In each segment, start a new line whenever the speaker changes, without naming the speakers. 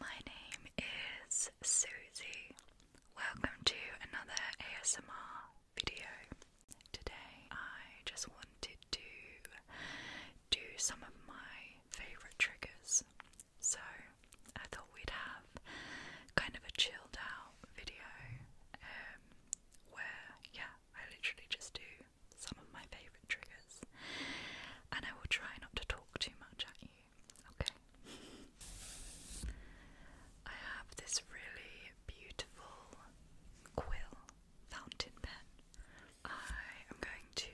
My name is Susie. Welcome to another ASMR video. Today I just wanted to do some of my favourite triggers. So I thought we'd have kind of a chilled out video um, where, yeah, I literally just do some of my favourite triggers. And I will try not to talk too much at you okay? I have this really beautiful quill fountain pen. I am going to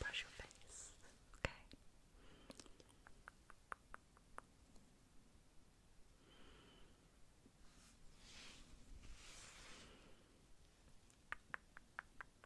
brush your face, okay?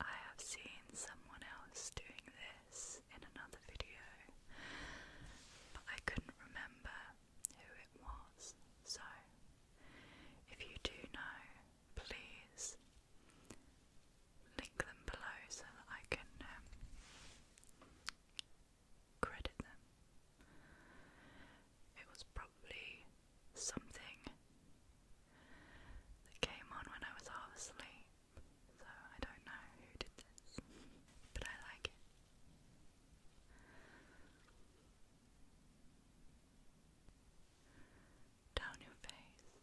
I have seen someone else doing this in another video, but I couldn't remember who it was. So, if you do know, please link them below so that I can know. Um, credit them. It was probably something that came on when I was half asleep, so I don't know who did this, but I like it. Down your face.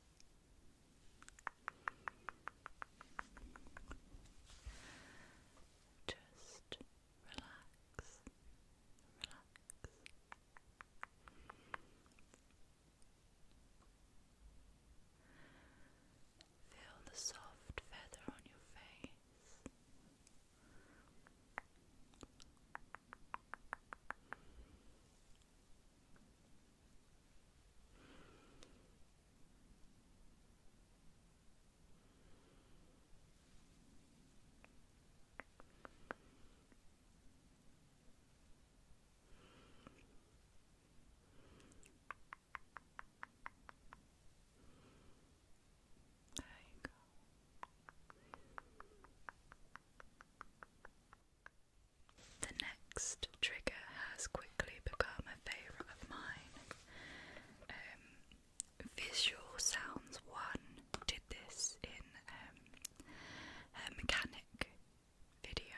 Just relax, relax. Feel the soft feather on your face. There you go. The next trigger has quickly become a favourite of mine. Um, Visual Sounds One did this in um, mechanic video,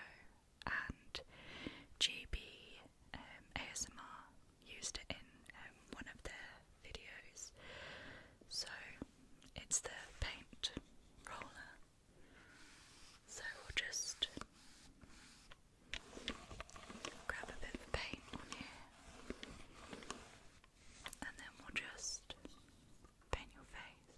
and GB um, ASMR used it in um, one of their videos. So it's the paint roller. So we'll just Grab a bit of paint on here, and then we'll just paint your face.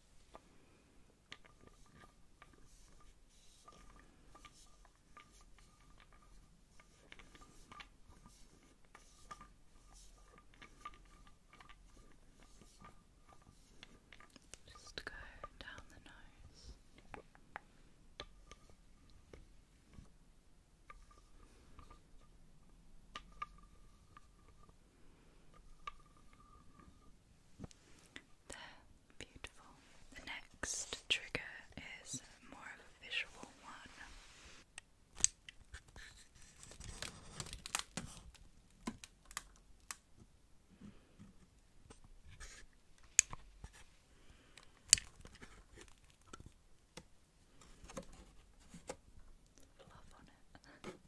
Just go down the nose. Good. There, beautiful. The next trigger is more of a visual one.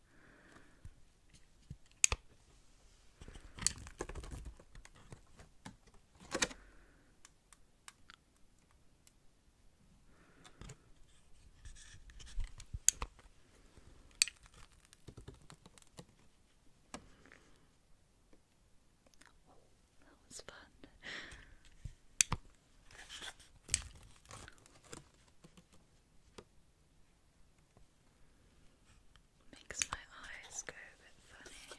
Oh, that was fun. Makes my eyes go a bit funny.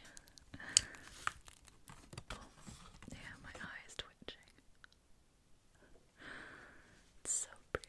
yeah, my eye twitching. It's so pretty.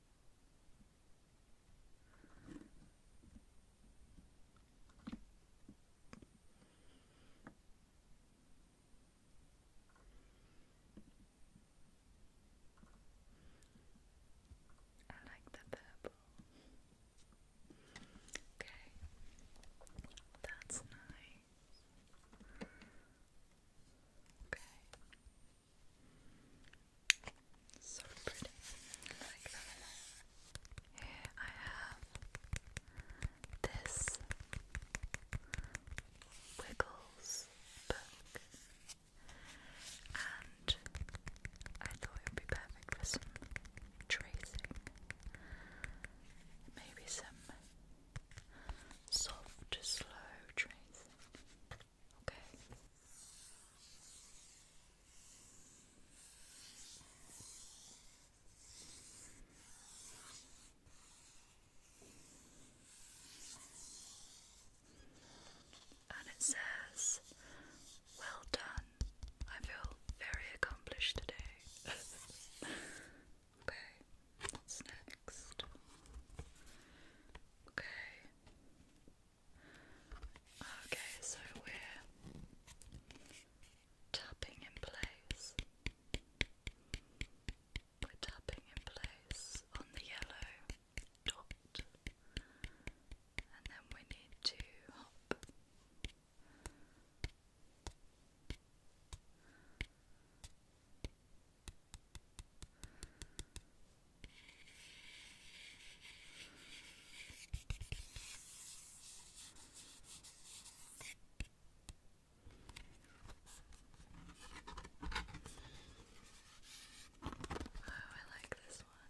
I like the purple. Okay, that's nice. Okay, so pretty. Here I have this Wiggles book. And I thought it would be perfect for some tracing. Maybe some soft, slow tracing. Okay. And it says, Well done. I feel very accomplished today. okay. What's next? Okay. Okay, so we're tapping in place. We're tapping in place on the yellow dot, and then we need to hop. Oh, I like this one.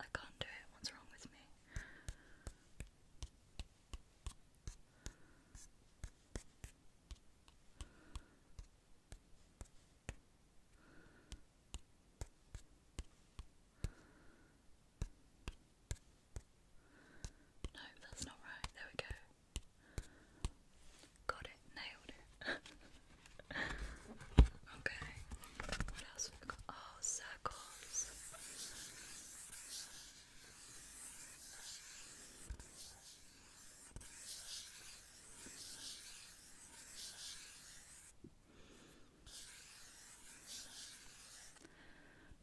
I can't do it. What's wrong with me? No, that's not right. There we go. Got it. Nailed it. okay. What else Oh, circles.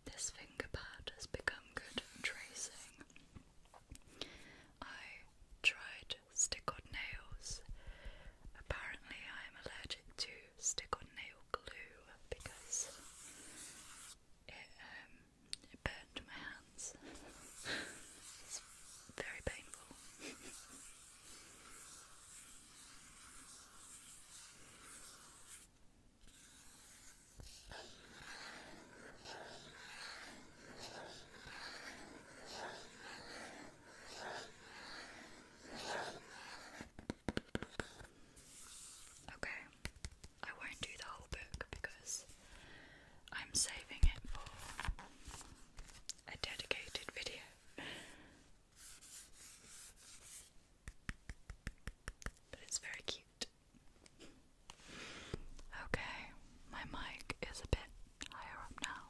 This finger pad has become good for tracing. I tried stick on nails. Apparently, I am allergic to stick on nail glue because it, um, burned my hands. it's very painful. Okay, I won't do the whole book because I'm saving it for a dedicated video. But it's very cute. Okay, my mic is a bit higher up now.